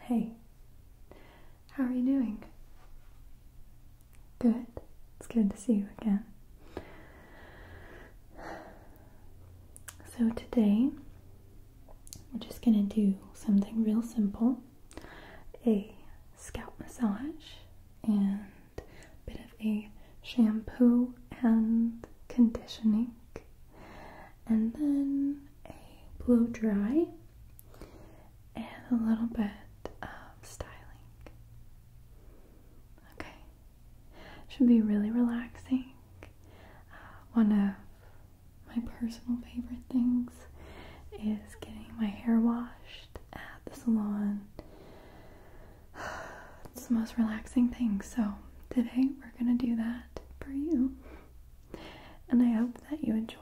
Hey, how are you doing? Good, it's good to see you again. So, today we're just gonna do something real simple a scalp massage and a bit of a shampoo and conditioning and then a blow dry and a little bit of styling. Okay, should be really relaxing. Uh, one of my personal favorite things is getting my hair washed at the salon. It's the most relaxing thing. So, today we're going to do that for you and I hope that you enjoy.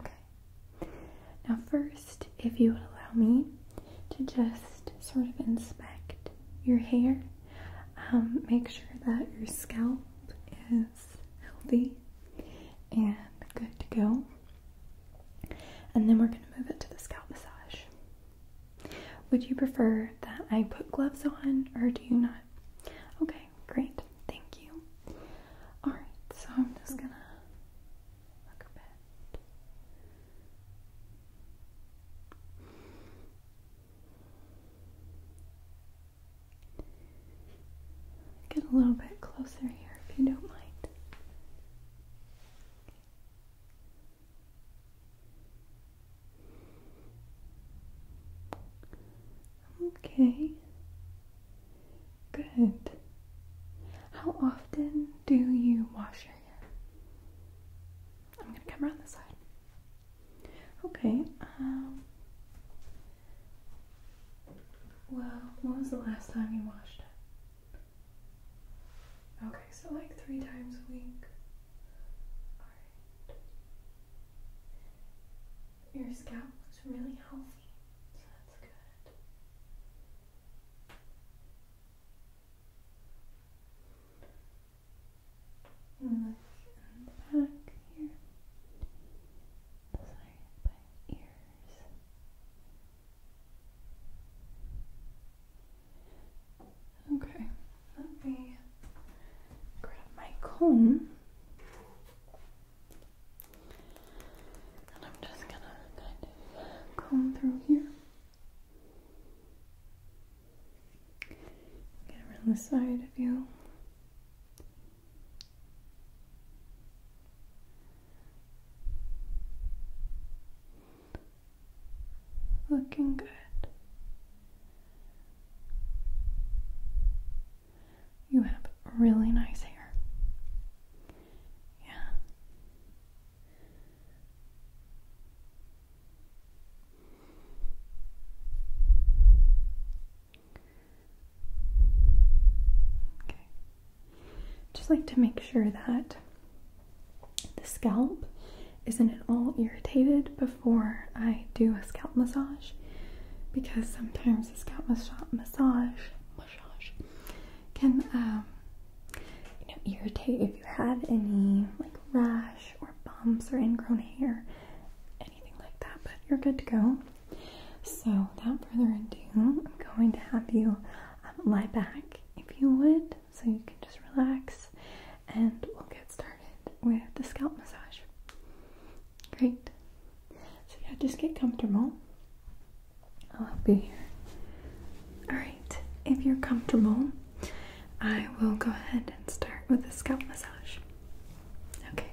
Okay. Now, first, if you would allow me to just sort of inspect your hair, um, make sure that your scalp is healthy and good to go. And then we're going to move it to the scalp massage. Would you prefer that I put gloves on or do you not? Okay, great. Thank you. Alright, so I'm just gonna Get a little bit closer here if you don't mind. Okay. Good. How often do you wash your hair? I'm gonna come around the side. Okay. Um. Well, when was the last time you washed it? Okay, so like three times a week. Your scalp looks really healthy, so that's good. And the back here. Sorry, by ears. Okay, let me grab my comb. And I'm just gonna kind of comb through here. Get around the side of you. Looking good. You have really nice hair. Yeah. Okay. Just like to make sure that the scalp isn't at all irritated before I do a scalp massage because sometimes a scalp massage can um, you know irritate if you have any like rash or bumps or ingrown hair, anything like that. But you're good to go. So without further ado, I'm going to have you um, lie back if you would so you can just relax and we'll get started with the scalp massage. Great. So, yeah, just get comfortable. I'll be here. Alright, if you're comfortable, I will go ahead and start with the scalp massage. Okay.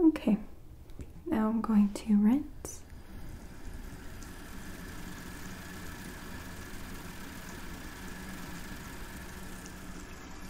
Okay, now I'm going to rinse.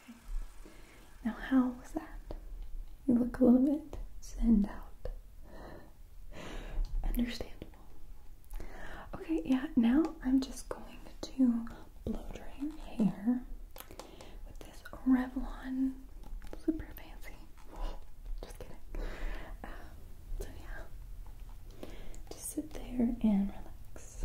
Okay. Now, how was that? You look a little bit send out. Understandable. Okay, yeah, now I'm just going to blow dry your hair with this Revlon. Super fancy. Just kidding. Uh, so, yeah. Just sit there and relax.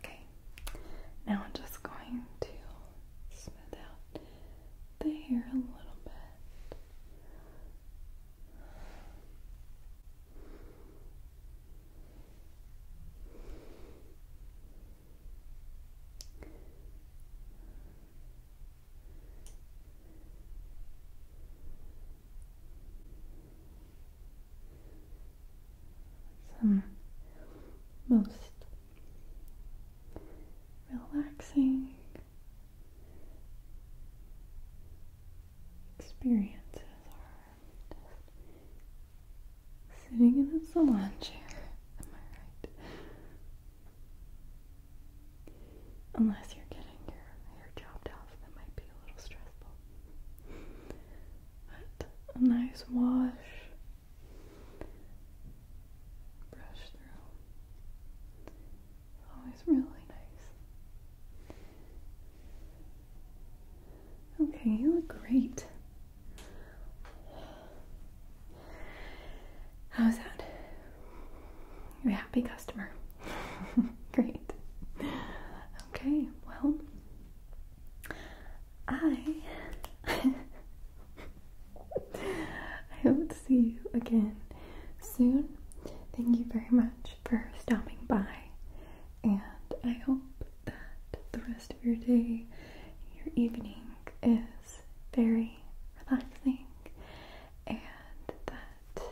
Okay, now I'm just going to smooth out the hair a little bit some most relaxing experiences are sitting in a salon chair. Am I right? Unless you're getting your hair chopped off, that might be a little stressful but a nice wash. Brush through. always really nice. Okay, you look great. How's that? You're a happy customer. Great. Okay, well, I I hope to see you again soon. Thank you very much for stopping by, and I hope that the rest of your day, your evening, is very relaxing and that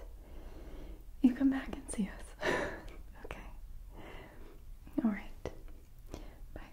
you come back and see us. okay. All right. Bye.